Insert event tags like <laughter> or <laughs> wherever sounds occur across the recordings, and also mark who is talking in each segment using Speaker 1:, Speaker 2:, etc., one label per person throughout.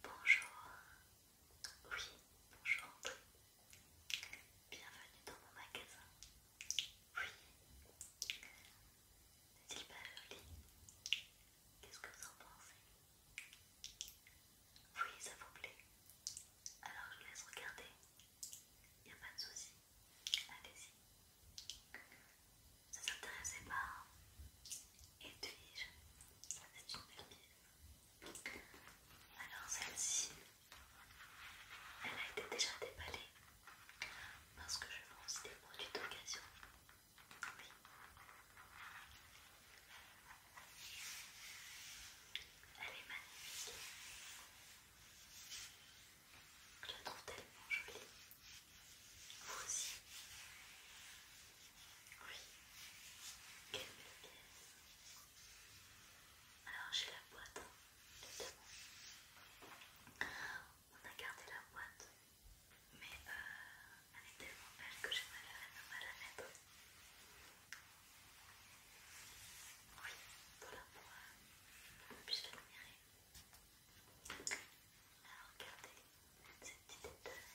Speaker 1: Bonjour, oui, bonjour bienvenue dans mon magasin. Oui, n'est-il pas joli Qu'est-ce que vous en pensez Oui, ça vous plaît Alors je vous laisse regarder, il n'y a pas de soucis, allez-y. Ça s'intéressait pas, hein ça c'est une belle alors celle-ci, elle a été déjà déballée parce que je lance des produits d'occasion. Oui. Elle est magnifique. Je la trouve tellement jolie. Vous aussi. Oui, quelle belle pièce. Alors j'ai la boîte, On a gardé la boîte, mais euh, elle est tellement belle que j'ai mal à la mettre. Oui, voilà pour je euh, la l'admirer. Alors regardez cette petite détails.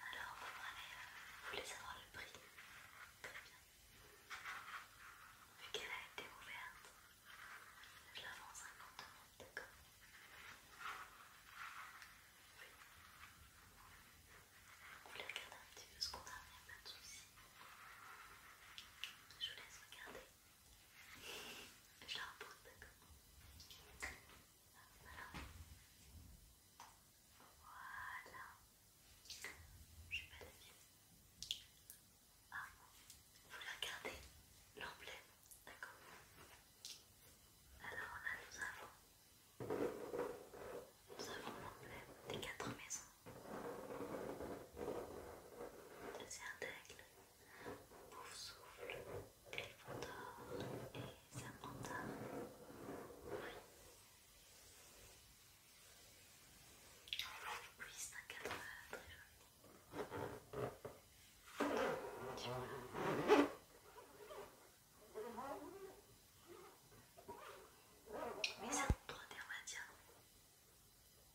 Speaker 1: Alors, vous euh, voulez savoir le prix Très bien. Vu qu'elle a été ouverte, je la vends 50 euros, d'accord Oui. Vous voulez regarder un petit peu ce qu'on a, il n'y a pas de soucis. Je vous laisse regarder. Je la d'accord Voilà. Voilà. Je vais pas la pied. Ah, vous regardez l'emblème D'accord Alors là, nous avons. Nous avons l'emblème des quatre maisons. C'est un aigle. Pouf souffle, Gryffondor et un Oui. Oui, Vous un cadre très joli. Tu vois mais c'est un d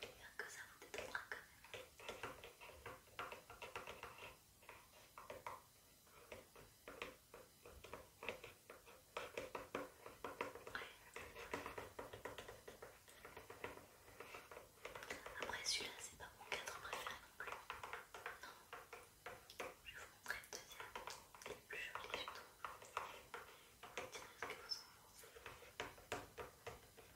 Speaker 1: J'espère que ça vous détendra quand même. Après celui-là, c'est pas mon cadre préféré non plus. Non. Je vais vous montrer le deuxième. Il est plus joli, je trouve. Dites-moi ce que vous en pensez.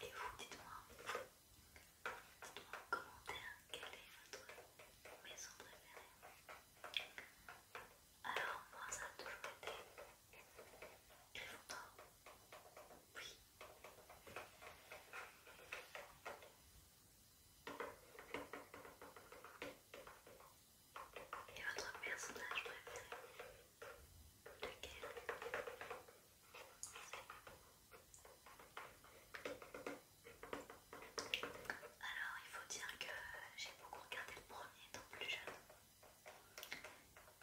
Speaker 1: Et vous, dites-moi dites en commentaire quel est votre maison préférée. Alors, moi, ça a toujours été Gryffondor. Oui. Et votre personnage préféré alors, il faut dire que j'ai beaucoup regardé le premier étant plus jeune.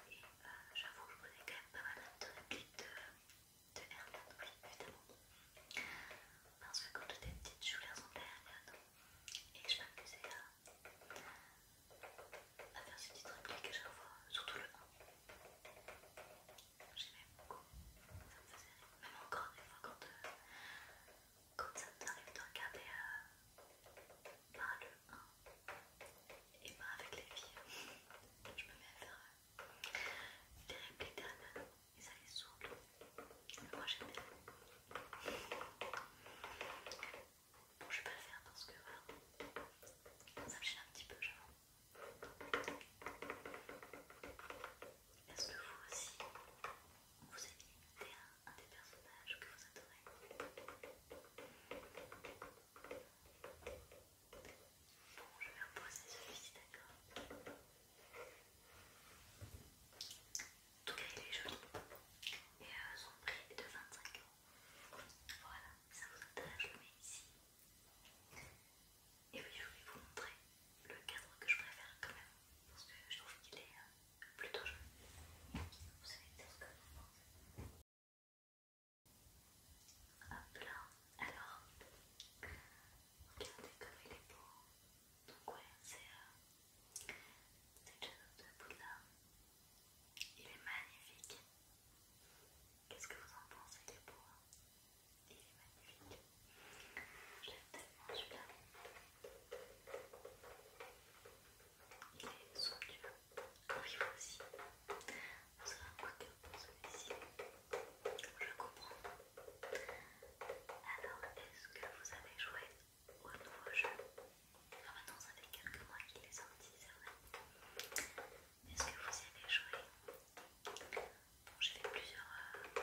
Speaker 1: Et euh, j'avoue que je connais quand même pas mal de clips de, de évidemment. Parce que quand j'étais petite, je voulais ressembler à hermione, et que je m'amusais à, à ah, faire ces petites répliques à chaque fois, surtout le 1. J'aimais beaucoup, ça me faisait rire. Même encore des fois quand, euh, ça t'arrive de regarder euh, pas le 1 et pas avec les filles, je me mets à faire euh, des répliques derrière et ça les saoule. Moi j'aimais. Bon, je vais pas le faire parce que ça me gêne un petit peu, j'avoue. Est-ce que vous aussi, vous avez un, un des personnages que vous adorez Bon, je vais reposer celui-ci, d'accord en tout cas, il est joli et euh, son prix est de 25 euros. Voilà, ça vous intéresse, je le mets ici. Et puis je vais vous montrer le cadre que je préfère quand même, parce que je trouve qu'il est euh, plutôt joli. Vous savez peut ce que vous pensez. Hop là, alors, regardez comme il est beau. Donc ouais, c'est déjà euh, le bout de l'âme. Il est magnifique. Qu'est-ce que vous en pensez des beau, Il est magnifique. j'aime tellement celui-là. Il est somptueux. Oui, vous aussi. Vous savez un que pour celui-ci. Je comprends. Alors, est-ce que vous avez joué au nouveau jeu Enfin, ah, maintenant, ça fait quelques mois qu'il est sorti, c'est vrai. Est-ce que vous avez joué? Bon, j'ai fait plusieurs. Euh,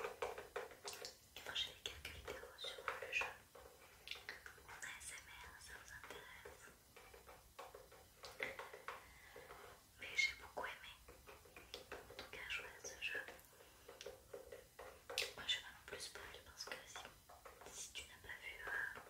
Speaker 1: enfin, j'ai fait quelques vidéos sur le jeu. On c'est SMR, ça vous intéresse Mais j'ai beaucoup aimé. En tout cas, jouer à ce jeu. Moi, je vais pas non plus spoil parce que si, si tu n'as pas vu. Euh,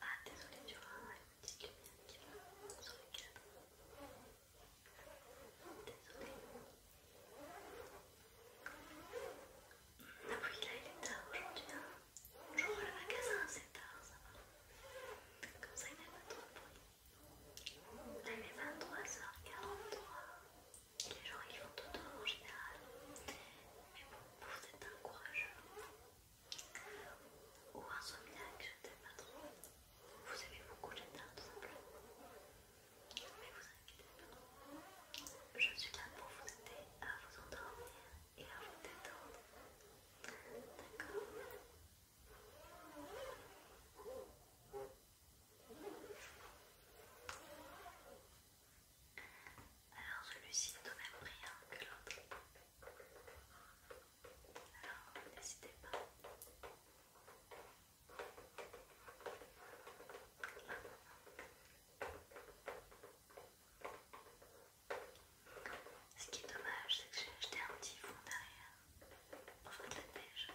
Speaker 1: Ah, désolé, tu vois, il y a une petite lumière qui va sur le cadre. Désolé. Ah oui, là il est tard aujourd'hui. Hein. Bonjour le magasin c'est tard, ça va. Comme ça il n'y a pas trop de bruit. Là il est 23h43. Les gens ils font tout le temps en général. Mais bon, vous êtes un courageux. Ou insomniaque, je ne sais pas trop. Vous avez beaucoup les teintes, tout simplement. Mais vous inquiétez pas. Je suis là pour vous aider à vous endormir et à vous détendre. D'accord alors celui-ci est au même rien hein, que l'autre. Alors, n'hésitez pas. Ce qui est dommage, c'est que j'ai acheté un petit fond derrière Enfin de la pêche.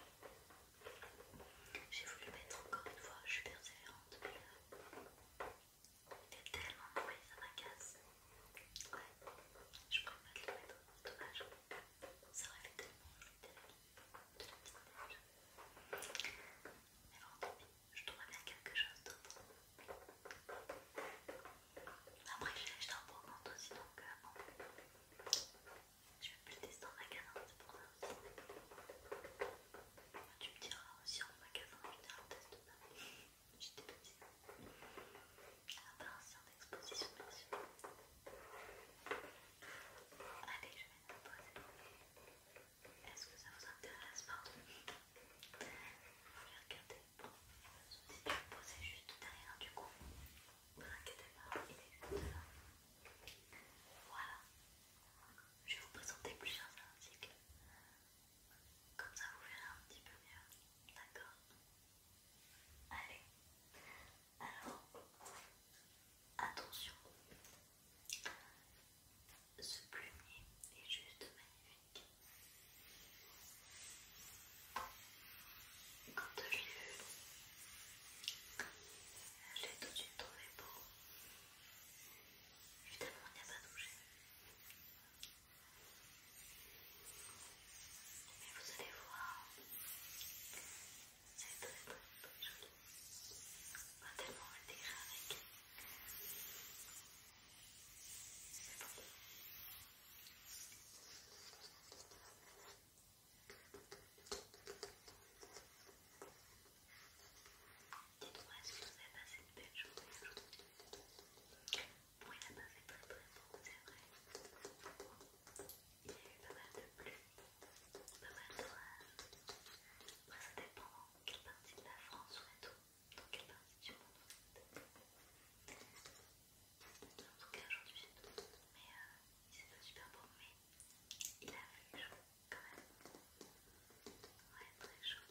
Speaker 1: J'ai voulu mettre encore une fois, je suis persévérante, mais euh, il fait tellement bruit, ça m'agace. Ouais, je pas le mettre c'est dommage. Ça aurait fait tellement de la de la petite Mais bon, je trouverai bien quelque chose d'autre. Après, j'ai acheté un brocante aussi, donc euh, Je vais plus le tester en magasin, c'est pour ça aussi. Tu me diras aussi en magasin, je te le teste pas petit à petit. Attention d'exposition, bien sûr. Allez, je vais vous poser. Est-ce que ça vous intéresse Pardon. Vous les regardez. Si je le poser juste derrière, du coup, ne vous inquiétez pas, il est juste là. Voilà. Je vais vous présenter plusieurs articles comme ça vous verrez un petit peu mieux. D'accord Allez. Alors, attention. Ce plumier est juste magnifique. Quand je l'ai vu, je l'ai tout de suite trouvé beau. Évidemment, on n'y a pas touché. Mais vous allez voir, c'est très très très joli. On tellement avec. C'est bon. Dites-moi si vous avez passé de aujourd'hui il a pas fait très très beau, c'est vrai. Il y a eu pas mal de pluie, pas mal d'orage. Après, ça dépend dans quelle partie de la France on tout, dans quelle partie du monde on est. En tout cas, aujourd'hui, c'est tout. mais euh, il s'est pas super beau, mais il a fait chaud quand même. Ouais, très chaud.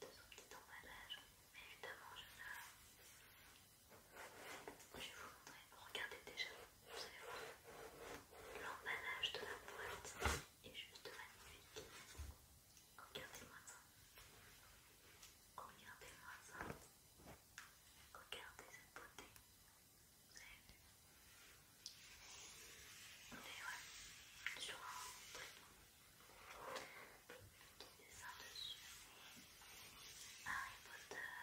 Speaker 1: de son petit emballage. Mais évidemment, je vais vous montrer. Regardez déjà, vous savez voir, l'emballage de la boîte est juste magnifique. Regardez-moi ça. Regardez-moi ça. Regardez cette beauté. Vous avez vu ouais, je Petit dessin dessus. Harry Potter.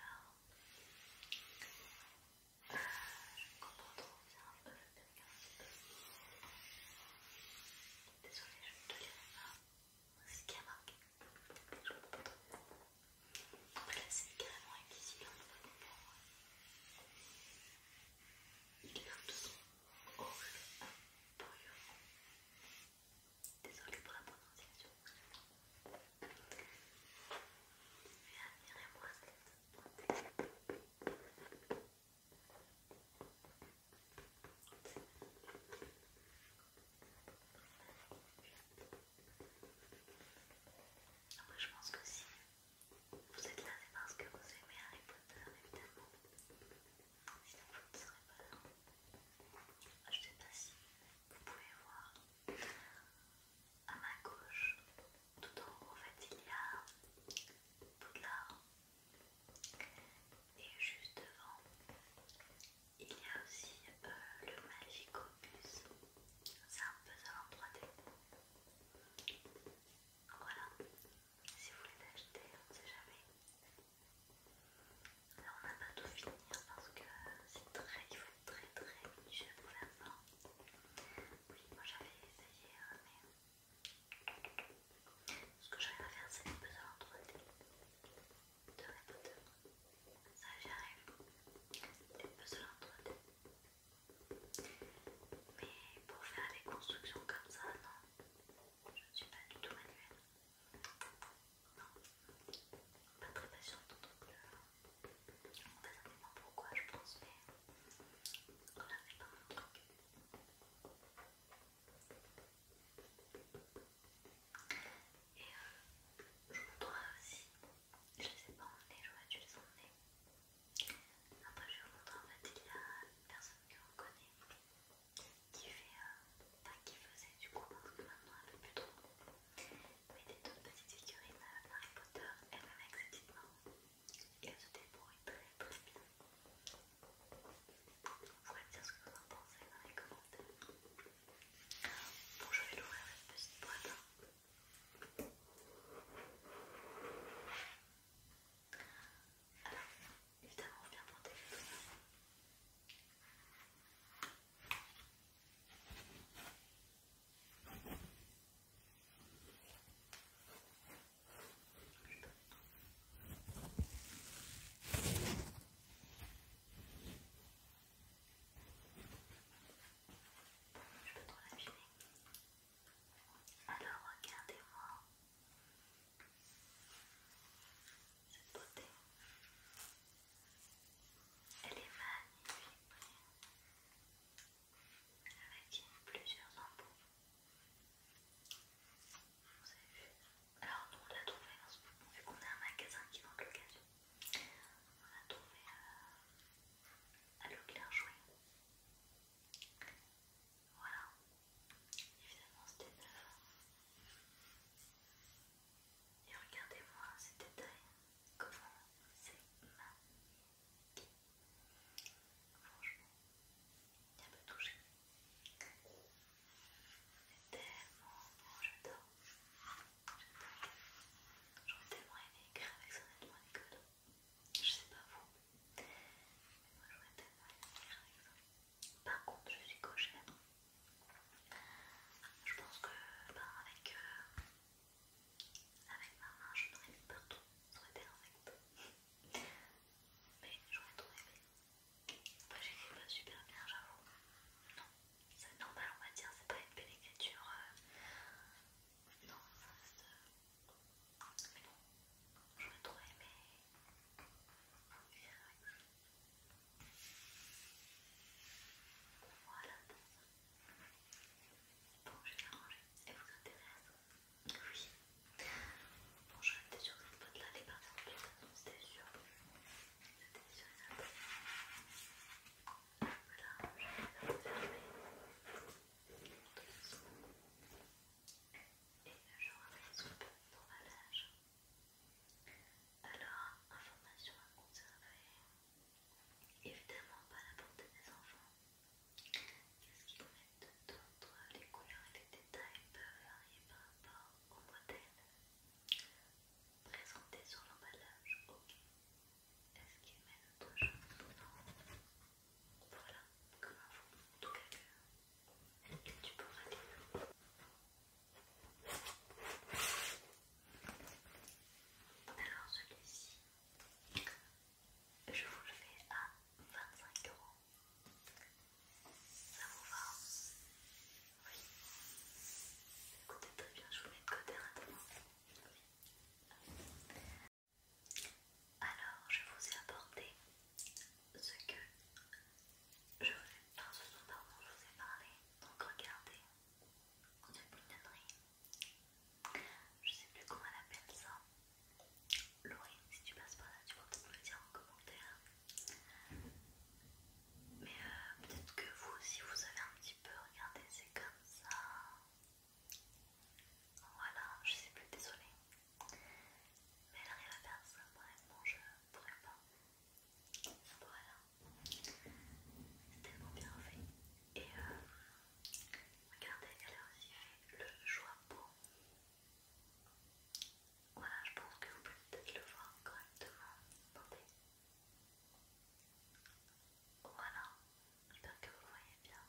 Speaker 1: Euh, je comprends trop bien. Désolée, je ne te lirai pas. C'est ce qui a marqué. Je ne comprends pas trop. Après, là, c'est carrément invisible. On peut comprendre. Il est un son horrible, bruyant. Désolée pour la prononciation. Admirez-moi après je pense que si vous êtes là c'est parce que vous aimez Harry Potter évidemment je vous ne serait pas là. Je sais pas si vous pouvez voir à ma gauche, tout en haut, en fait, il y a Poudlard, et juste devant, il y a aussi euh, le Magic Opus. C'est un puzzle en 3D. Voilà, si vous voulez l'acheter, on ne sait jamais. Alors, on n'a pas tout fini parce que c'est très, il faut être très très niché pour la fin. Oui, moi j'avais essayé, euh, mais ce que j'arrive à faire, c'est des puzzles entre les deux Ça, j'y arrive. puzzles entre mais pour faire des constructions comme ça, non, je ne suis pas du tout manuelle. Pas très patiente donc je on va simplement pourquoi je pense, mais voilà, c'est pas mon truc. Et euh, je je montrerai aussi, je les ai pas emmenés, que tu les emmenés, Après, je vais vous montrer, en fait, il y a une personne que vous connaissez. Euh, qui faisait du coup parce que maintenant elle ne fait plus trop, mais des toutes petites figurines de euh, Harry Potter, elle avec ses et elle se débrouille très très bien. Vous pouvez me dire ce que vous en pensez dans les commentaires. Bon, je vais l'ouvrir cette petite boîte. Hein. Alors, Évidemment, on vient monter les doigts. Je peux trop l'abîmer. Alors regardez-moi cette beauté. Elle est magnifique, avec plusieurs embouts. Vous avez vu Alors nous on l'a trouvé, vu qu'on a un magasin qui vend l'occasion, on l'a trouvé euh, à, à Voilà, évidemment c'était neuf. Et regardez-moi ces détails, comment c'est magnifique. Franchement, il y a peu touché. C'est tellement bon, j'adore. J'aurais tellement aimé écrire avec son aide Nicolas Je sais pas vous, mais moi j'aurais tellement aimé écrire avec ça. Par contre, je suis cochère. Je pense que ben, avec, euh, avec ma main, je n'aurais pas tout Ça aurait été Mais j'aurais trop aimé. J'ai j'écris pas super bien, j'avoue. Non, c'est normal, on va dire. C'est pas une belle écriture. Euh, non, ça reste. Euh, mais bon, j'aurais trop aimé. Voilà. Bon, je vais la Et Elle vous intéresse Oui. Bon, je sûre que cette boîte-là allait partir en plus. C'était sûr. C'était sûr. Voilà, je vais la fermée. Et je remets un le d'emballage. Alors, information à conserver, évidemment pas à la portée des enfants. Qu'est-ce qu'ils mettent toi Les couleurs et les détails peuvent varier par rapport au modèle présenté sur l'emballage. Ok. Est-ce qu'ils mettent autre chose Non. Voilà, comme info, en tout cas que tu pourras rater. Alors celui-ci, je vous le fais à 25 euros. Ça vous va hein Oui. Écoutez très bien, je vous mets de côté rapidement. Alors je vous ai apporté ce que je vous ai, ce soir pardon, je vous ai parlé, donc regardez, de bouillonnerie. Je sais plus comment elle appelle ça. Laurine, si tu passes par là, tu vas peut-être me le dire en commentaire. Mais euh, peut-être que vous aussi vous avez un petit peu regardé, c'est comme ça. Voilà, je sais plus, désolée. Mais elle arrive à faire ça, bref, bon, je euh, pourrais pas. Voilà, c'est tellement bien fait. Et regardez, elle a aussi fait le choix beau. Voilà, je pense que vous pouvez peut-être le voir correctement. Attendez. Voilà, j'espère que vous voyez bien.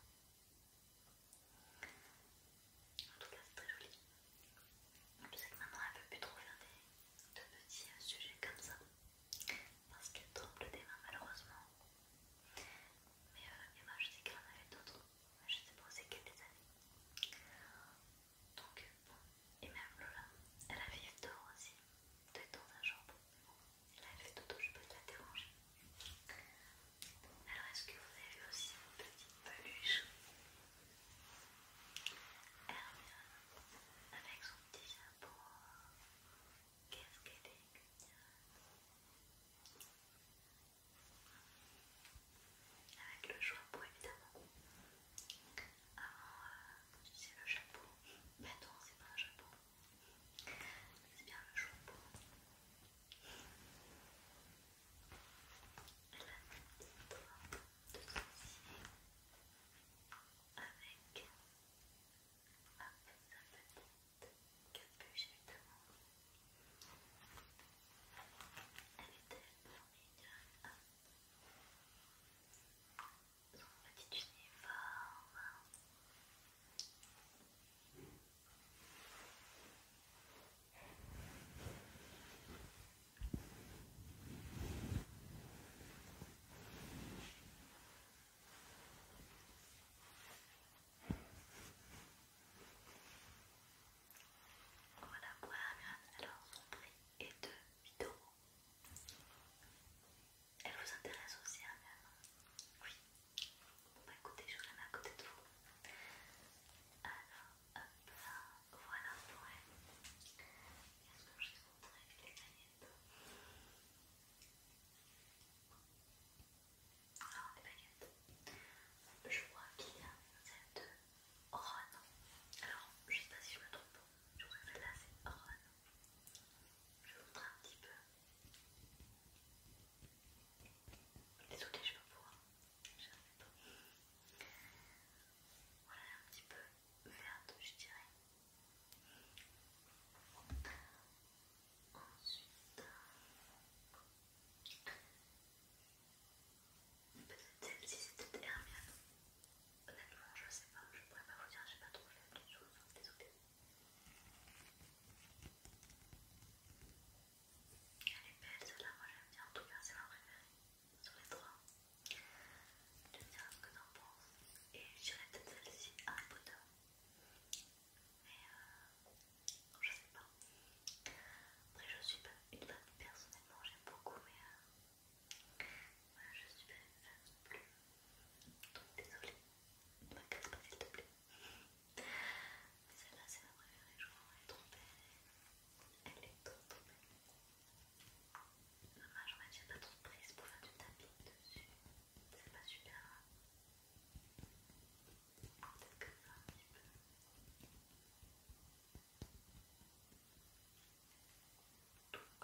Speaker 1: En tout cas, c'est très joli. Je sais que maintenant elle ne peut plus trop regarder de petits sujets comme ça parce qu'elle tremble des mains malheureusement mais euh, moi Emma je sais qu'elle en avait d'autres je sais pas c'est qu'elle les mis donc bon et même Lola elle avait eu tort aussi de dans un jambe mais bon elle avait d'autres je peux te la déranger alors est-ce que vous avez aussi vos petites peluches elle revient avec son petit chapeau, qu'est-ce qu'elle est Avec le chapeau évidemment. Avant, vous c'est le chapeau. Mais attends, c'est pas un chapeau. C'est bien le chapeau. Elle a un petit de souci avec un sa petite capuche Elle est tellement mignonne. Son petit uniforme. Voilà, voilà, alors son prix est de 8 euros. Elle vous intéresse aussi, hein, Oui. Bon, bah écoutez, je vous la mets à côté de vous. Alors, hop voilà pour elle. Qu'est-ce que je vais vous les baguettes Alors, les paillettes, je vois qu'il y a celle de Ron. Alors, je ne sais pas si je me trompe, je crois que là c'est Ron. Je vais vous montrer un petit peu. désolé je peux pas Voilà un petit peu verte, je dirais. Ensuite, peut-être celle-ci, c'est Hermione. Honnêtement, je sais pas, je pourrais pas vous dire, j'ai pas trop fait Elle est belle celle-là, moi j'aime bien, en tout cas c'est ma préférée sur les trois, je dirais ce que j'en penses. Et j'irai peut-être celle-ci à Harry Potter. Mais je sais pas. Après, je suis pas une bonne personnellement, j'aime beaucoup, mais je suis pas une plus. Donc, désolée, ne me casse pas s'il te plaît. Mais celle-là, c'est ma préférée, je crois. Elle est trop Elle est trop trop belle. Dommage, ouais, j'ai pas trop de prise pour faire du tapis dessus. C'est pas super. Hein Peut-être que ça un petit peu. Donc,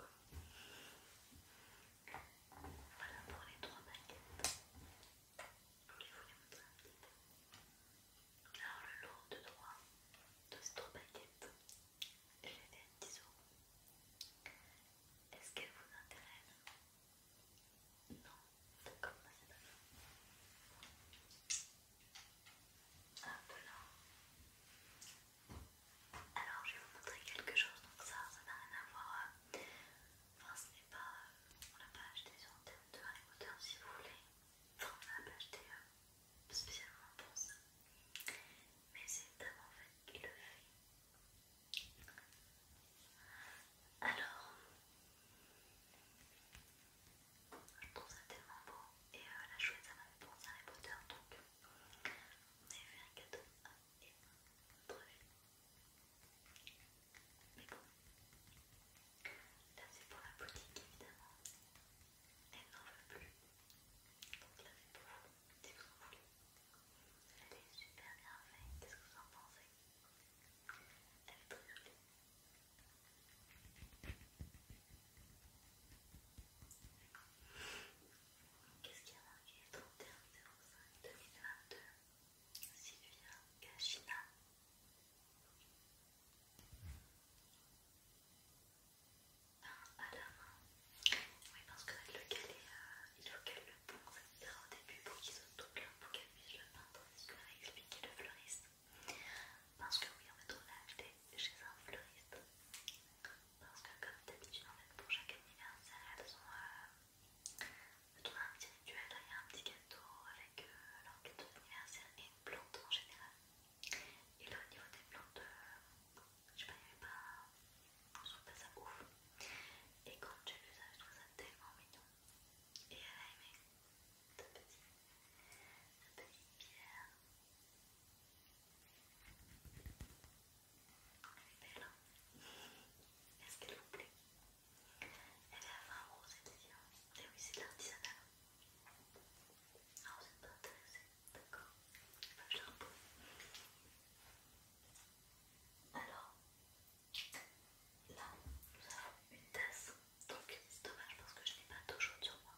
Speaker 1: voilà pour les trois baguettes, Je voulais vous les montrer un petit Alors, le lot de trois de ces trois baguettes, je Est-ce qu'elle vous intéresse Non D'accord, c'est pas Un peu, là. Alors je vais vous montrer quelque chose, donc ça, ça n'a rien à voir. Enfin, ce n'est pas. on l'a pas acheté sur un terme de Harry si vous voulez. on n'a pas acheté spécialement pour ça, mais c'est tellement fait qui le fait. Alors, je trouve ça tellement beau et la chouette ça m'a fait penser à Harry Potter donc on avait fait un cadeau à elle Mais bon, là c'est pour la boutique évidemment, elle n'en veut plus donc là c'est pour vous si vous en voulez. Elle est super bien faite, qu'est-ce que vous en pensez Elle est très jolie. Qu'est-ce qu'il y a marqué 31 05 2022 Sylvia Gachina. Oui, parce que le lequel est, euh, le bon, au début pour qu'ils se là, pour qu'ils puissent le peindre. C'est ce que m'a expliqué le fleuriste. Parce que oui, en fait, on a acheté chez un fleuriste. Parce que, comme d'habitude, en fait, pour chaque anniversaire, elles ont, euh, un petit rituel. Il y a un petit gâteau avec euh, leur gâteau d'anniversaire et une plante en général. Et là, au niveau des plantes, euh, je m'avais pas, je trouve pas ça ouf. Et quand j'ai vu ça, je trouve ça tellement mignon. Et elle a aimé ta petite, la petite pierre. Elle est belle, hein. Est-ce qu'elle vous plaît Elle est à 20 euros, c'est-à-dire. Et eh oui, c'est de l'artisanat. Alors, ah, vous pas D'accord Je la Alors, là, nous avons une tasse. Donc, c'est dommage parce que je n'ai pas d'eau chaude sur moi.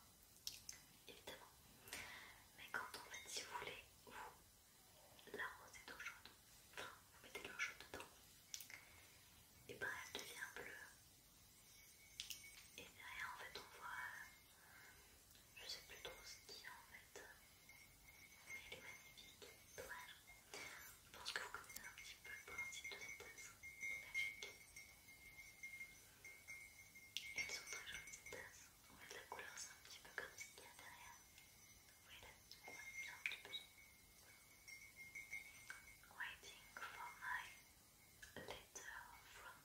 Speaker 1: Évidemment. Mais quand en fait, si vous voulez, vous l'arrosez d'eau chaude. Enfin, vous mettez de l'eau chaude dedans. Et ben, elle devient bleue. Et derrière, en fait, on voit je sais plus trop ce qu'il y a en fait, mais elle est magnifique. Dommage. Je pense que vous connaissez un petit peu le principe de cette tasse magique. Elles sont très jolies ces tasses. En fait, la couleur c'est un petit peu comme ce qu'il y a derrière. Vous voyez là, on bien un petit peu. Waiting for my letter from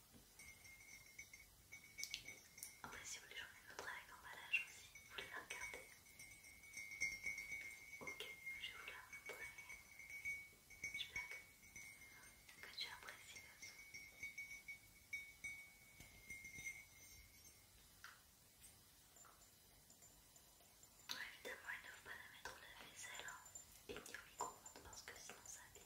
Speaker 1: Après, si vous voulez, j'en ai mets avec emballage aussi. Vous voulez la regarder Ok, je vais vous la montrer. J'espère que, que tu apprécies le son. Évidemment, il ne faut pas la mettre au lave-vaisselle hein, et ni au micro-ondes parce que sinon ça abîme.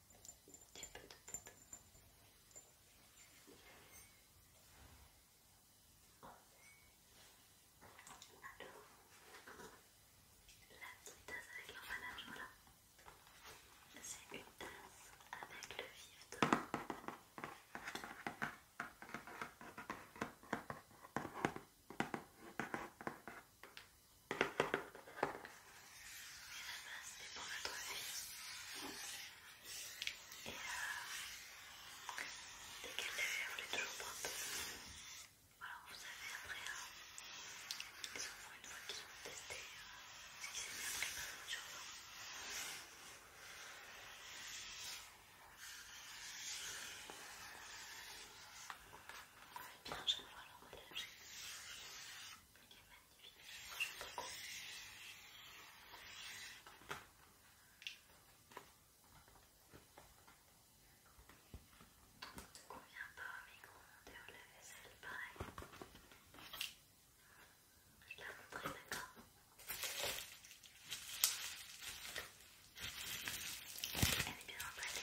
Speaker 1: petit peu de poudre. Alors, la petite tasse avec l'emballage, voilà. C'est une tasse avec le vif dedans mais la base c'est pour notre vie. et dès qu'elle l'a fait, elle voulait toujours prendre alors vous savez après ils une fois qu'ils ont testé ce qui s'est bien pris par notre Bien, je vais voir leur relâcher. Ne convient pas au micro grandes et au lave-vaisselle, pareil. Je l'ai montré, d'accord Elle est bien emballée.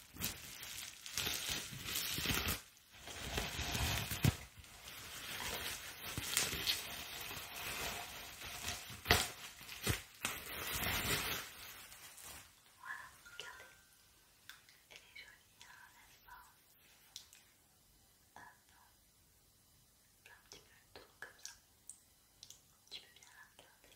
Speaker 1: Voilà, regardez. Elle est jolie, hein, n'est-ce pas Hop. Un petit peu le tour comme ça. Tu peux bien la regarder.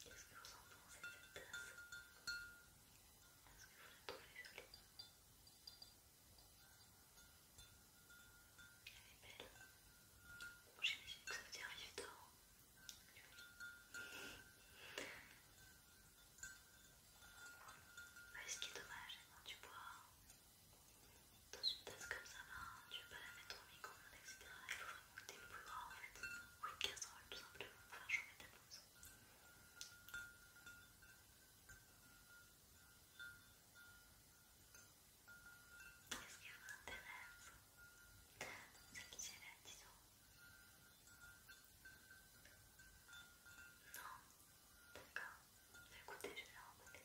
Speaker 1: Qu'est-ce que vous en pensez de cette tasse Est-ce que vous la trouvez jolie Elle est belle. J'imagine que ça vous arrive tard. Mais ce qui est dommage, tu bois dans une tasse comme ça, hein, tu tu vas pas la mettre au micro-ondes, etc. Il faut vraiment que tu le plus grand en fait. Ou une casserole tout simplement pour faire chauffer ta pose. Qu'est-ce qu'il qui vous intéresse Celle qui est là, disons. Non D'accord. Écoutez, je vais la remonter.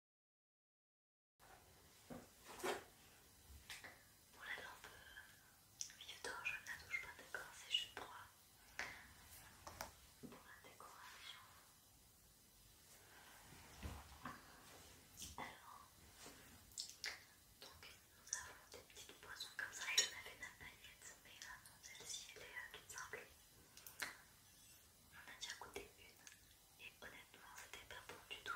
Speaker 1: Pour la lampe vieux d'or, je ne la touche pas, d'accord, c'est juste pour, pour la décoration. Alors, donc nous avons des petites boissons comme ça, il y en avait la baguette, mais celle-ci elle est toute simple. On a déjà goûté une et honnêtement c'était pas bon du tout.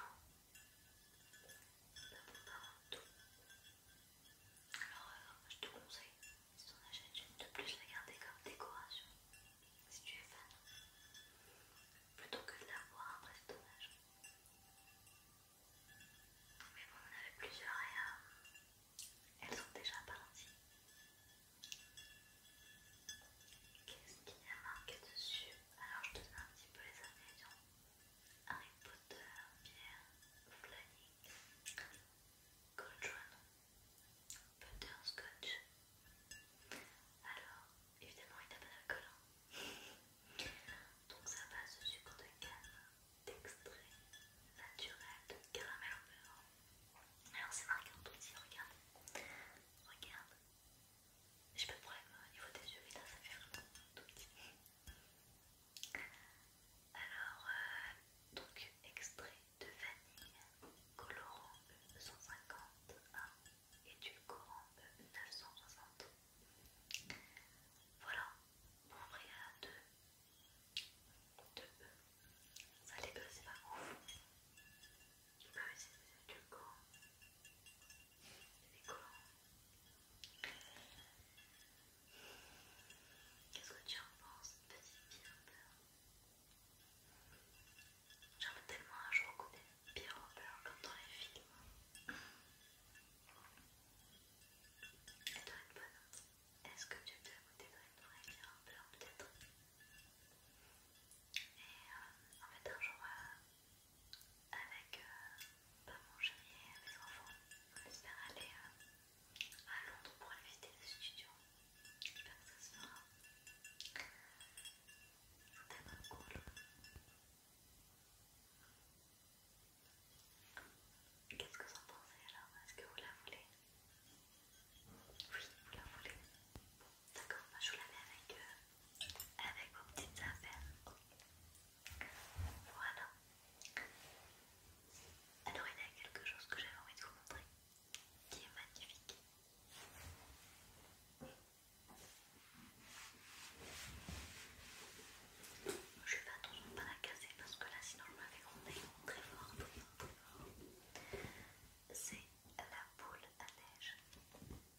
Speaker 1: Alors, je te conseille, si en achètes une de plus, la garder comme décoration, si tu es fan, plutôt que de la voir après cet hommage. Mais bon, on avait plusieurs et elles sont déjà parties. Qu'est-ce qu'il y a marqué dessus alors je te donne un petit peu les ingrédients. Harry Potter, Pierre, flanique, Potter butterscotch. Alors, évidemment il n'a pas d'alcool. Hein. Donc ça passe au sucre de canne, d'extrait naturel de caramel au beurre. Alors c'est marqué en tout petit, regarde. Regarde. Je peux de problème hein, au niveau des yeux, mais là ça fait vraiment tout petit. Alors, euh, donc extrait de vanille, colorant E150 et édulcorant E960. Voilà, pour y à deux E. Ça les deux c'est pas ouf. Il peux essayer de le des Les corps. Qu'est-ce que tu en penses, petite Pierre J'en veux tellement un jour qu'on est Pierre comme dans les films. Elle doit être bonne. Est-ce que tu as déjà goûté dans une vraie bière en peut-être Et euh, en fait un jour, euh, avec maman, chéri et mes enfants. j'espère aller euh, à Londres pour aller visiter le studio. J'espère que ça se fera. C'est tellement cool. Qu'est-ce que vous en pensez alors Est-ce que vous la voulez Oui, vous la voulez. Bon, d'accord, bah, je vous la mets avec eux avec vos petites affaires. Voilà. Alors il y a quelque chose que j'avais envie de vous montrer qui est magnifique. Je vais attendre de pas la casser parce que là sinon je me fais gronder très fort. C'est la boule à neige.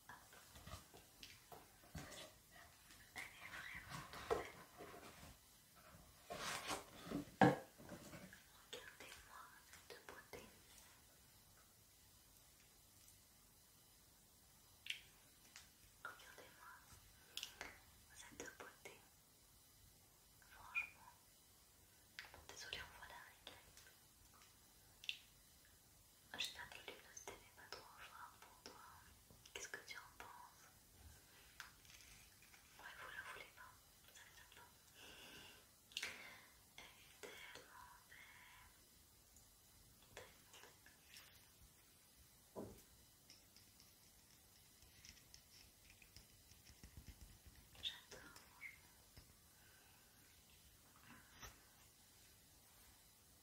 Speaker 1: Elle est vraiment belle. Regardez-moi cette beauté. Regardez-moi cette beauté. Franchement, Désolée, on voit la règle. Ah, j'espère que le luminosité pas trop fort pour toi. Qu'est-ce que tu en penses Ouais, vous la voulez pas, Vous ça les aime pas. Elle est tellement belle. Tellement belle. J'adore, mon franchement.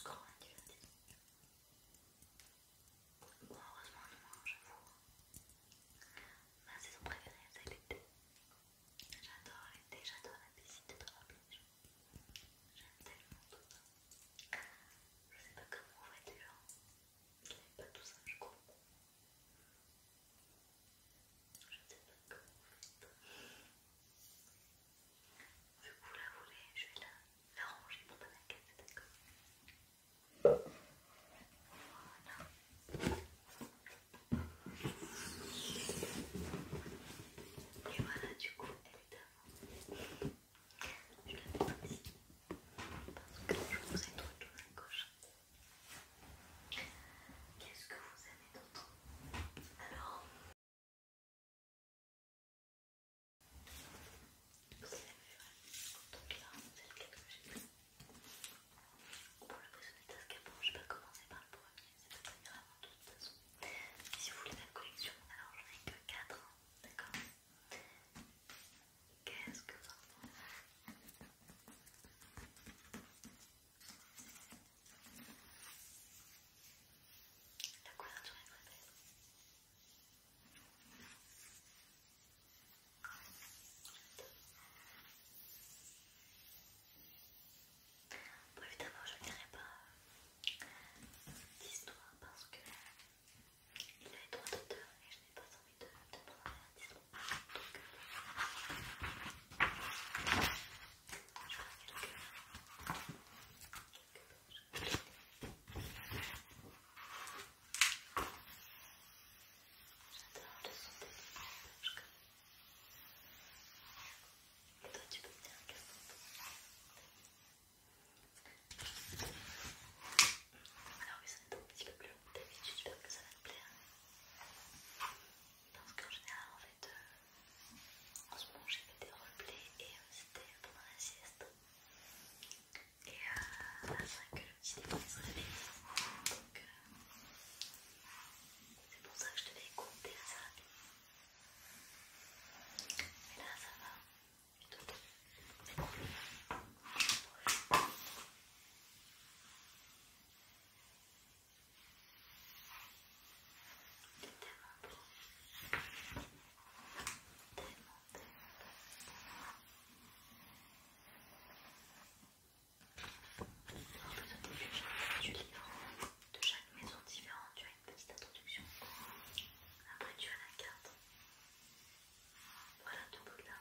Speaker 1: Encore un dieu. Bon, heureusement, on mange, j'avoue. Ma saison préférée, c'est l'été. J'adore l'été, j'adore la piscine, de la plage. J'aime tellement tout ça. Je sais pas comment on va Il n'y avait pas tout ça, je crois. Je sais pas comment on fait. Vous la voulez, je vais la, ranger dans ma maquette, d'accord Voilà. Et voilà, du coup, elle est à Je la mets Parce que je vous ai trouvé de à gauche. Qu'est-ce que vous avez d'autre Alors, donc là, c'est le lequel que j'ai pris. Pour le prisonnier d'escapant, je vais commencer par le premier, c'est pas très grave de toute façon. Si vous voulez la collection, alors j'en ai que 4, d'accord Qu'est-ce que ça la couverture est très belle. Bon, évidemment, je ne dirai pas d'histoire parce que il avait droit d'auteur et je n'ai pas envie de, de prendre 10 avertissement. Donc, euh, je ferai quelques, J'adore le son des nuages Et toi, tu peux me dire qu'est-ce Alors, oui, ça va être un petit peu plus long que d'habitude, j'espère que ça va te plaire. Je pense qu'en général, en fait, euh, en ce moment j'ai fait des replays et euh, c'était pendant la sieste. Et euh, c'est vrai que le petit défaut se réveille. Donc euh, c'est pour ça que je devais compter assez rapidement. Mais là ça va. je Tout c'est Il C'est tellement beau tellement, tellement Alors, vous au début, je du livre. De chaque maison différente, tu as une petite introduction. Après, tu as la carte. Voilà ton bout là.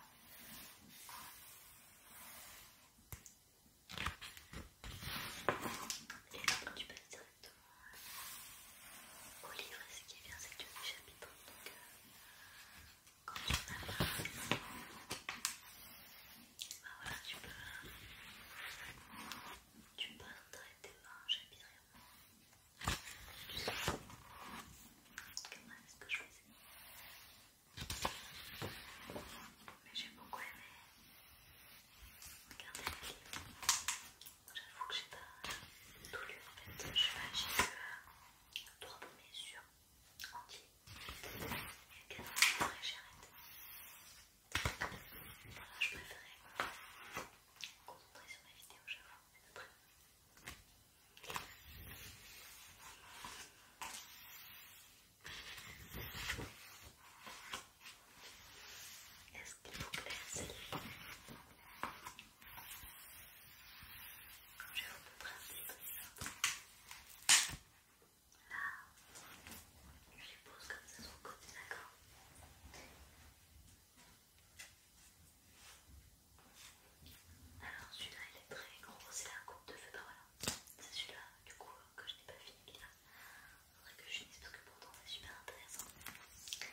Speaker 1: Et après, tu passes directement au livre, ce qui est bien, c'est que tu as des chapitres. Donc, euh, quand tu en as pas, bah voilà, tu peux, tu peux traiter un chapitre et Tu sais, comment est-ce que je faisais mais j'ai beaucoup aimé regarder les livres J'avoue que j'ai pas tout lu en fait. J'ai que trois premiers sur entiers. Et le quatrième après j'arrête arrêté. Voilà, je préférais me concentrer sur mes vidéo, j'avoue, est-ce qu'il vous que celle Comme Je vais vous le comme Là, je les pose comme ça sur le côté, d'accord alors celui-là il est très gros, c'est la coupe de feu, voilà, c'est celui-là du coup que je n'ai pas fini, a vrai que je parce que pourtant c'est super intéressant. Est-ce que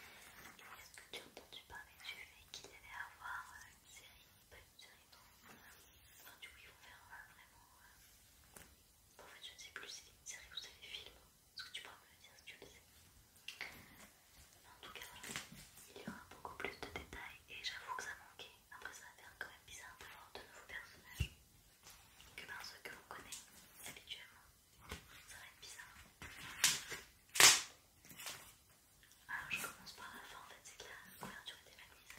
Speaker 1: tu as entendu parler du fait qu'il allait avoir une série, pas une série, non Enfin, du coup, ils vont faire euh, vraiment. Euh, en fait, je ne sais plus si c'est une série ou c'est des films. Est-ce que tu pourras me le dire si tu le sais En tout cas, il y aura beaucoup plus de détails et j'avoue que ça manquait. Après, ça va faire quand même bizarre d'avoir de nouveaux personnages que par ceux que l'on connaît habituellement. Ça va être bizarre. Alors je commence par la fin en fait, c'est que la couverture était magnifique.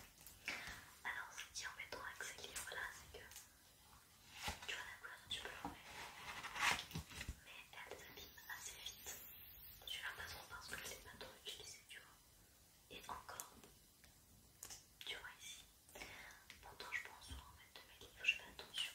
Speaker 1: Alors ce qui est embêtant avec ces livres là, c'est que tu vois la couleur, tu peux le remettre mais elle s'abîme assez vite. pas trop parce que je l'ai pas trop utilisée, tu vois. Et encore, tu vois ici. Pourtant, je pense en fait de mes livres, je fais attention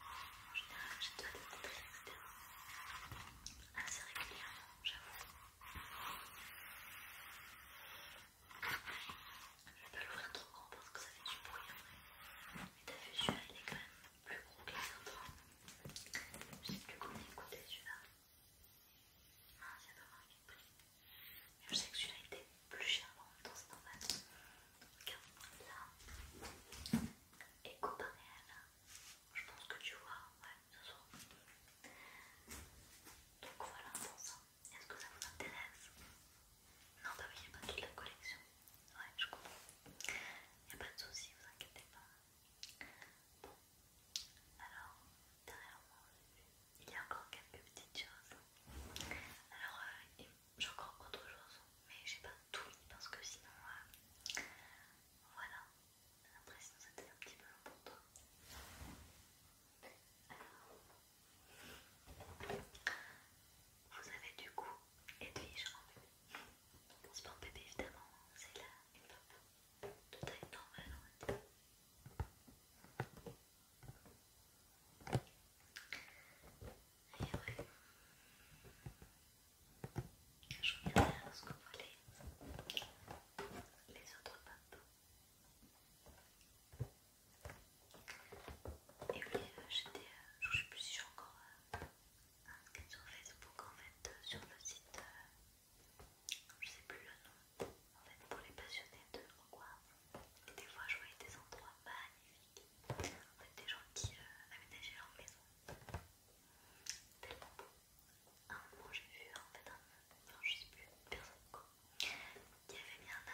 Speaker 1: en général, j'ai dois des complexes, etc. Assez régulièrement, j'avoue. Je vais pas l'ouvrir trop grand parce que ça fait du bruit vrai. Mais t'as vu, celui-là il est quand même plus gros que les autres. Je sais plus combien il coûtait celui-là. Ah, c'est prix. je sais que celui-là était plus cher, en même temps, c'est normal là et comparé je pense que tu vois, ouais, ça se Donc voilà pour ça. Est-ce que ça vous intéresse Non, bah oui, j'ai pas toute la collection. Ouais, je comprends. a pas de soucis, vous inquiétez pas. Bon, alors derrière moi, il y a encore quelques petites choses. Alors, euh, j'ai encore autre chose, mais j'ai pas tout mis parce que sinon, euh, voilà. Après, sinon, c'était un petit peu long pour toi. Alors, vous avez du coup Edwige en bébé. C'est pas bébé évidemment, hein, c'est là une pop de taille normale en fait. Et oui, Je regarde ce que voit les, les autres papes. Et oui, j'étais. je ne sais plus si j'ai encore sur Facebook en fait, sur le site. Euh, je sais plus le nom. En fait, pour les passionnés de Hogwarts. Et des fois, je voyais des endroits magnifiques. En fait, des gens qui euh, aménageaient leur maison. Tellement beau. moi j'ai vu en fait un. Non, je sais plus, personne quoi. Qui avait mis un de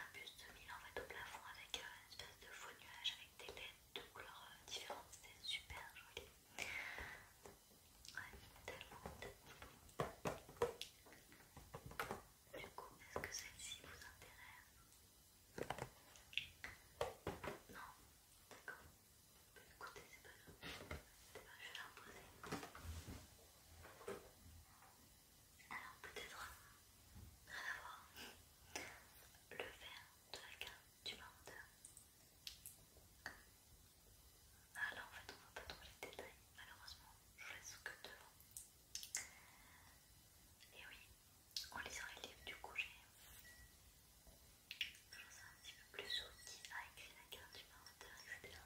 Speaker 1: mille en fait au plafond avec euh, une espèce de faux nuage avec des lettres de couleurs euh, différentes. C'était super joli. Ouais, tellement, tellement beau. Du coup, est-ce que celle-ci vous intéresse non, d'accord. Écoutez, c'est pas grave. C'est pas je vais la reposer. Alors, peut-être, rien à voir. Le verre de la carte du menteur. Ah là, en fait, on voit pas trop les détails, malheureusement. Je vous laisse que devant. Et oui, en lisant les livres du coup j'ai sais un petit peu plus sur qui a écrit la carte du inventaire etc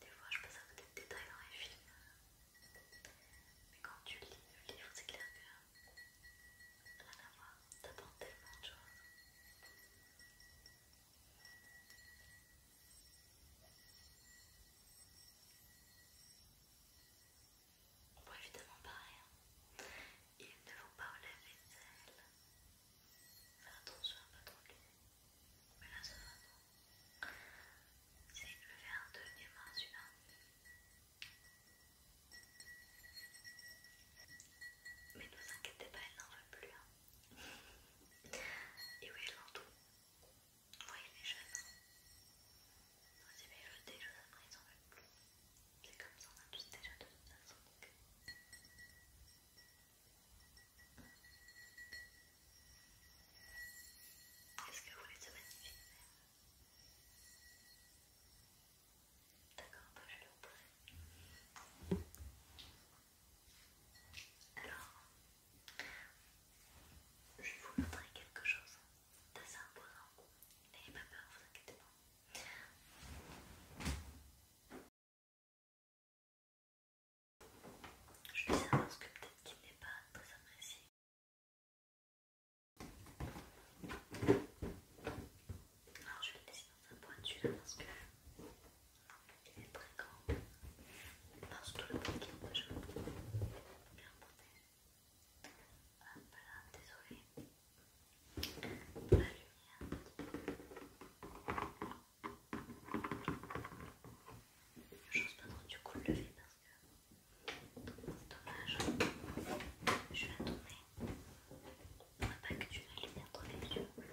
Speaker 1: des fois je passe à peut de détails dans les films mais quand tu lis le livre c'est clair que rien à voir T'attends tellement de choses on Bon, évidemment, hein. pas Hein. Il ne faut pas la vaisselle. Faire attention à pas trop l'huile. Mais là, ça va, non C'est le verre de Emma, celui-là. Mais ne vous inquiétez pas, elle n'en veut plus. Hein. Et oui, elle en tout. Oui, il est jeune. Il c'est le déjà, après, ils en veulent plus. C'est comme ça, on a tous déjà de dans son Donc... Est-ce que vous voulez ce magnifique D'accord, on bah, peut vais le Alors, je vais vous montrer quelque chose en imposant. N'ayez pas peur, vous inquiétez pas. Je le ça parce que peut-être qu'il n'est pas très apprécié. Alors je vais le laisser dans sa boîte là parce que il est très grand. que tout le en moi Il est bien Hop là, désolé. La lumière. pense pas trop du coup le lever parce que c'est dommage. Je vais attendre je On va pas que tu la lumière dans les yeux. Voilà.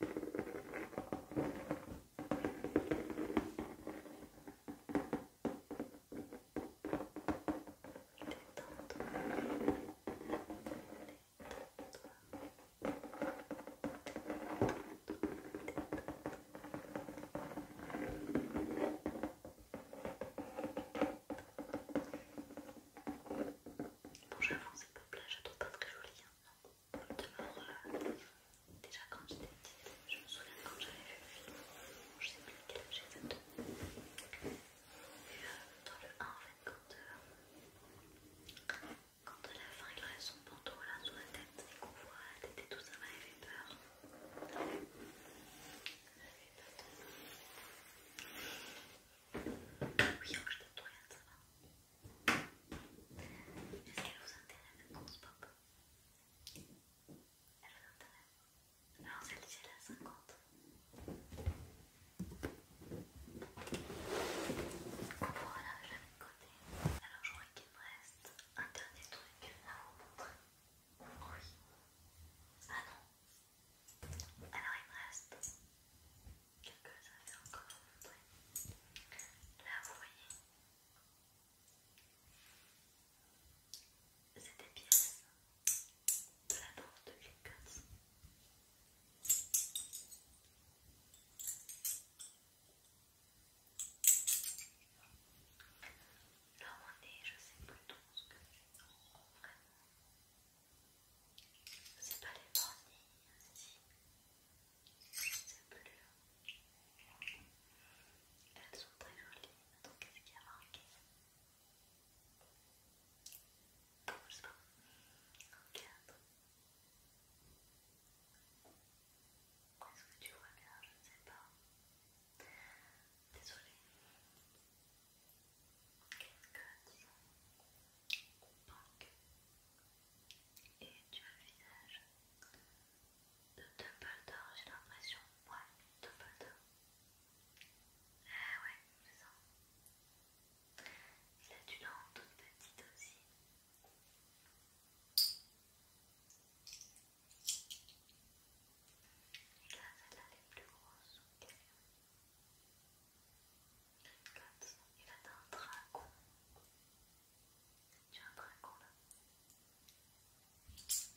Speaker 1: Bon j'avoue c'est plage, pas très joli hein. D'abord, déjà quand j'étais petite, je me souviens quand j'avais vu le film, je sais plus quel âge j'étais Et dans le 1 en fait quand, euh, quand à la fin il reste son pantalon là la tête et qu'on voit la tête et tout ça m'avait fait peur. Ça m'avait peur tellement. Oui, donc je t'ai tout rien ça va. Est-ce qu'elle vous intéresse une grosse pop elle a Alors celle-ci elle a 50. On pourra la côté. Alors je crois qu'il me reste un dernier truc à vous montrer. Oui. Ah non. Alors il me reste quelques affaires encore à vous montrer. Là vous voyez. C'est des pièces de la bande de Clickers. Là où je sais plutôt ce que j'ai vraiment. C'est pas les bornes, si ces bleues. Elles sont très jolies. Donc, qu'est-ce qu'il y a marqué Bon, je sais pas. Est-ce que tu vois bien Je ne sais pas. Désolée. Qu'est-ce que as Punk. Et tu as le visage de Dumbledore, j'ai l'impression. Ouais, Dumbledore. Ah ouais, c'est ça. Il a du l'en toute petite aussi. Et là, celle-là, elle est plus grosse. Regarde, il a un dragon. Tu as un là. Je ce que ça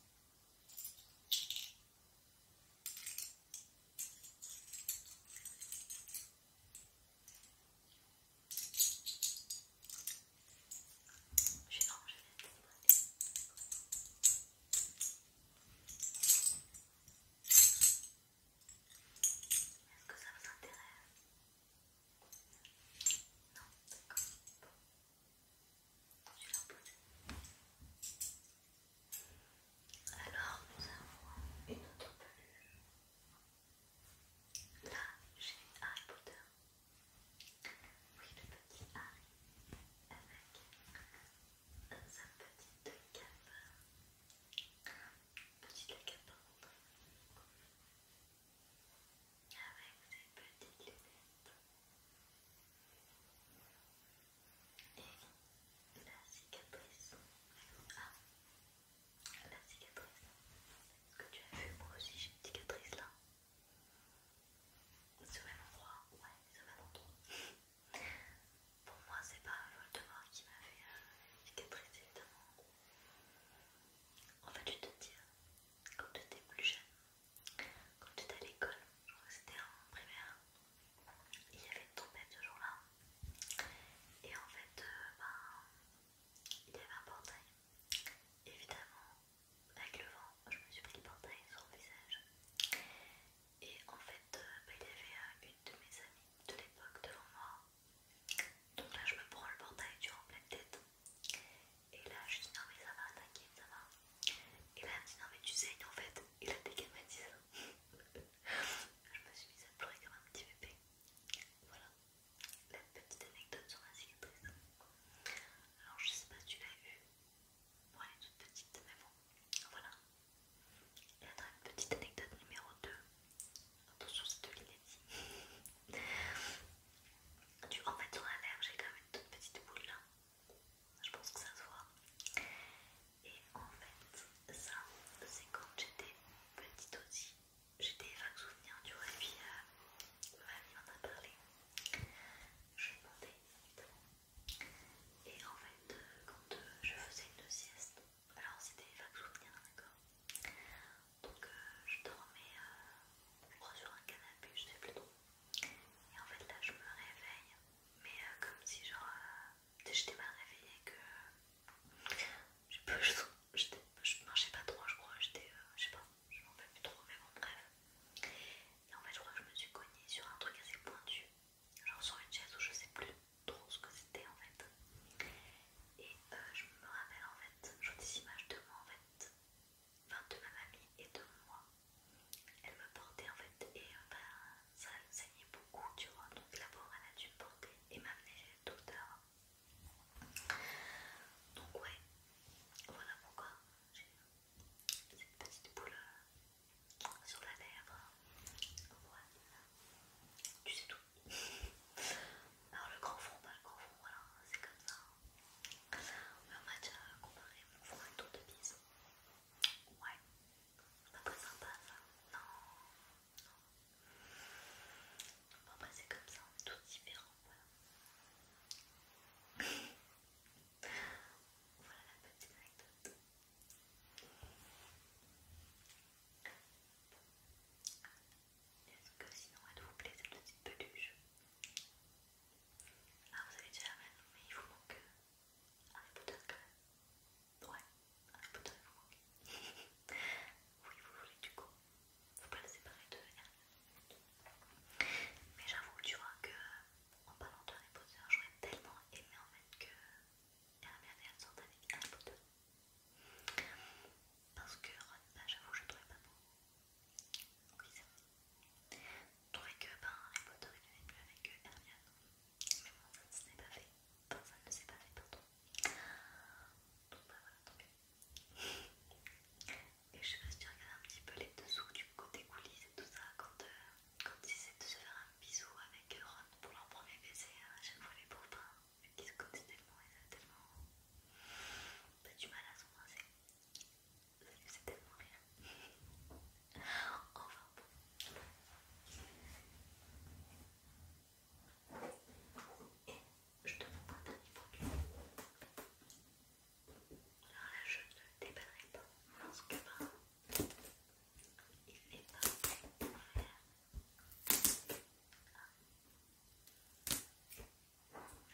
Speaker 1: vous intéresse non, d'accord. Bon. J'ai Alors, nous avons une autre peluche. Là, j'ai Harry Potter. Oui, le petit Harry avec sa petite cape. Petite cape, par avec ses petites lunettes et la cicatrice. Ah, la cicatrice. Est-ce que tu as vu moi aussi j'ai une cicatrice là C'est au même endroit Ouais, c'est au même endroit. Pour moi, c'est pas Voldemort qui m'a fait une cicatrice évidemment. En fait, je te dis quand tu étais plus jeune, quand tu étais à l'école, je crois que c'était en primaire, il y avait une trompette ce jour-là. Et en fait, euh, ben, il y avait un portail. Évidemment, avec le vent, je me suis pris le portail sur le visage. Et en fait, euh, ben, il y avait euh, une de mes amies de l'époque devant moi. Donc là, je me prends le portail durant pleine tête. Et là, je dis non, mais ça va, t'inquiète, ça va. Et là, elle me dit non, mais tu sais, en fait, il a ça je me suis mise à pleurer comme un petit bébé. Voilà la petite anecdote sur ma cicatrice. Alors, je sais pas si tu l'as vu. Bon, elle est toute petite, mais bon, voilà. Et après, petite anecdote numéro 2. Attention, c'est de l'inédit. <laughs> en fait, sur la lèvre, j'ai quand même une toute petite boule là. Je pense que ça se voit. Et en fait, ça, c'est quand j'étais petite aussi. j'étais vague souvenir, du tu vois. Et puis, euh, ma vie en a parlé. Je demandais, Et en fait, euh, quand euh, je faisais une sieste, alors c'était vague souvenir, d'accord donc euh, je dormais euh, sur un canapé, je sais plus trop. Et en fait là je me réveille, mais euh, comme si genre j'étais mal réveillée que je sais plus, je, marchais pas trop, je crois, j'étais, je sais pas, je m'en fais plus trop, mais bon bref. Et en fait je crois que je me suis cognée sur un truc assez pointu, genre sur une chaise où je ne sais plus trop ce que c'était en fait. Et je me rappelle en fait, j'ai des images de moi en fait de ma mamie et de moi. Elle me portait en fait et euh, enfin ça saignait beaucoup, tu vois. Donc la bas elle a dû me porter et m'amener tout le docteur. Donc ouais, voilà pourquoi j'ai cette petite boule euh, sur la lèvre. Voilà. Tu sais tout. Alors le grand front, pas le grand front, voilà, c'est comme ça. On va déjà comparer, on va un un tour de bise. Ouais, c'est pas très sympa ça. Non, non. Bon, après, c'est comme ça, on est tous différents, voilà. <laughs> voilà la petite anecdote. Est-ce que sinon elle vous plaît cette petite peluche Ah vous avez déjà la même, mais il vous manque euh, Harry Potter quand même. Ouais, Harry Potter il vous <laughs> oui vous voulez du coup. Faut pas la séparer de Mais j'avoue tu vois que en parlant de Harry Potter, j'aurais tellement aimé en fait que Hermione elle sorte avec Harry Potter. Parce que bah, j'avoue, je trouvais pas oui, c'est vrai. Trouver que ben, Harry Potter il n'est mieux avec euh, Hermione. Mais bon, ça ne s'est pas fait. Enfin, ça ne s'est pas fait, pardon. Donc bah voilà, tant pis. Et je me suis regardé un petit peu les dessous du côté coulisses et tout ça euh, quand, ils essaient de se faire un bisou avec euh, Ron pour leur premier baiser. J'aime hein, vois les pauvres, hein, vu qu'ils se connaissent tellement, ils avaient tellement pas bah, du mal à s'embrasser c'est tellement rien. Au revoir. Et je te montre un dernier Alors là, je ne déballerai pas que Il est pas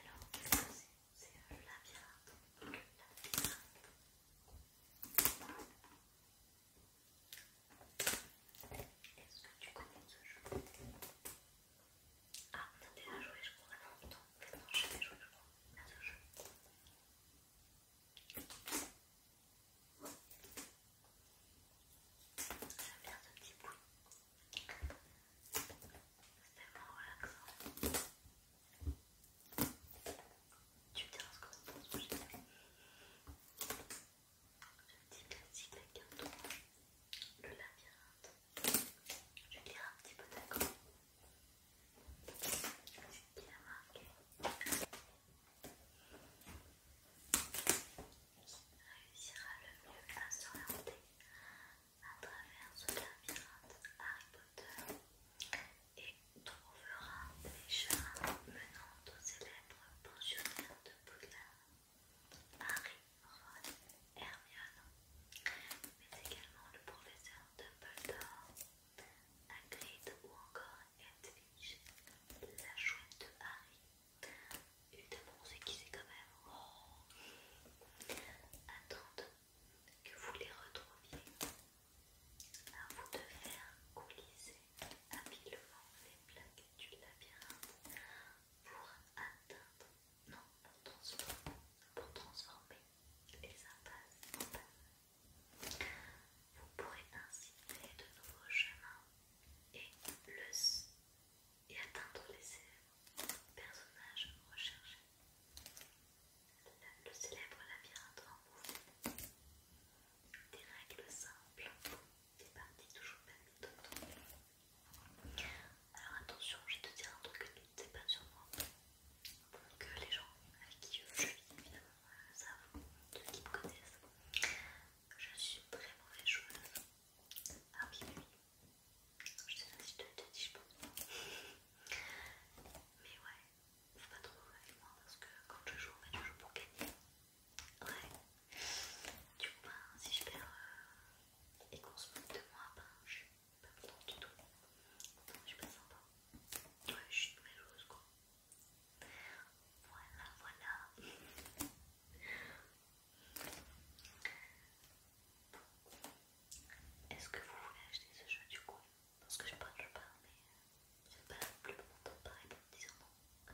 Speaker 1: alors, qu'est-ce que c'est C'est le labyrinthe. Le labyrinthe. Est-ce que tu connais ce jeu Ah, t'as déjà joué, je crois. non, putain, non, joué, je crois, à ce jeu. J'aime bien ce petit bruit. C'est tellement relaxant. Tu me diras ce que tu penses, j'ai Ce petit classique avec un le labyrinthe. Je vais lire un petit peu d'accord. C'est bien marqué. Qui réussira le mieux à s'orienter à travers ce labyrinthe Harry Potter et trouvera les chemins menant au célèbre pensionnaire de Poudlard, Harry, Ron, Hermione, mais également le professeur Dumbledore, Hagrid ou encore Edwige, la chouette de Harry, une de c'est qui c'est quand même que vous les retrouviez. À vous de faire coulisser habilement les plaques du labyrinthe pour atteindre, non, pour transformer, les impasses Vous pourrez ainsi créer de nouveaux chemins et, le, et atteindre les personnages recherchés le, célèbre labyrinthe en mouvement. Des règles simples, des parties toujours permis Alors attention, je vais te dire un truc que ne pas sur moi. que les gens avec qui je vis, évidemment, savent, ceux qui me connaissent. Je suis une très mauvaise joueuse. Ah oui, oui, je sais pas je te dis je Mais ouais, faut pas trop avec moi parce que quand je joue, je joue pour gagner. Ouais. Du coup, ben, si je perds euh, et qu'on se moque de moi, ben, je suis pas content du tout. je suis pas sympa. Ouais, je suis une quoi. Voilà, voilà. Est-ce que vous voulez acheter ce jeu du coup Parce que je parle, je parle, mais euh, je ne pas plus longtemps par me dire non.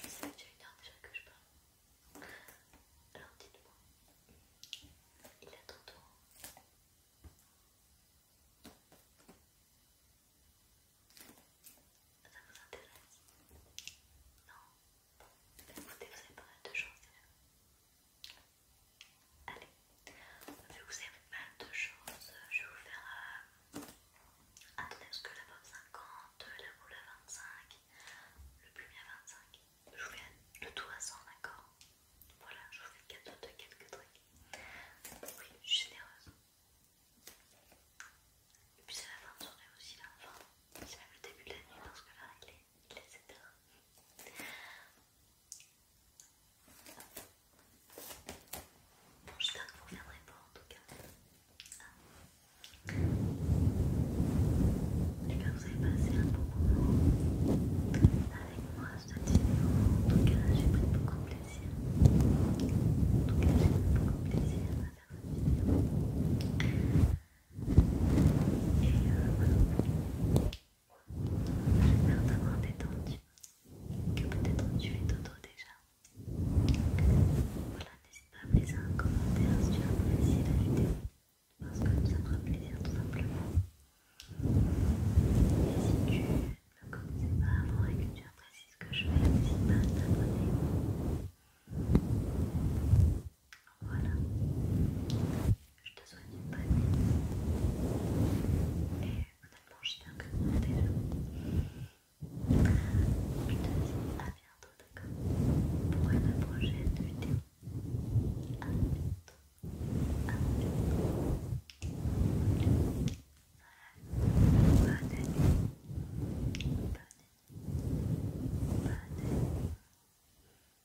Speaker 1: Ça fait déjà une heure déjà que je parle. Alors dites-moi, il est ton tour. Ça vous intéresse Non Écoutez, vous avez parlé de choses Allez, vous vous c'est pas de choses, je vais vous faire. Euh... Attendez, parce que la pomme 50, la boule à 25, le plumier à 25. Je vous fais le tout à 100, d'accord Voilà, je vous fais le cadeau de quelques trucs. Oui, je suis généreuse. Et puis c'est la fin de journée aussi, là, enfin, c'est même le début de la nuit parce que là, il il les adore. Bon, j'espère que vous reviendrez pas en tout cas. Ah. J'espère que vous avez passé un bon moment avec moi cette vidéo. En tout cas, j'ai pris beaucoup de plaisir. En tout cas, j'ai pris beaucoup de plaisir à faire cette vidéo. Et euh, voilà. J'espère t'avoir détendu, que peut-être tu fais dodo déjà. Voilà, n'hésite pas à me laisser un commentaire si tu as apprécié la vidéo, parce que ça me fera plaisir tout simplement. Et si tu ne le connais pas avant et que tu apprécies ce que je fais, n'hésite pas à t'abonner. Voilà. Je te souhaite une bonne nuit. Et honnêtement, j'espère que vous êtes déjà. Je te dis à bientôt, d'accord Pour une prochaine vidéo. À bientôt. À bientôt. Voilà. Bonne nuit. Bonne nuit. Bonne nuit.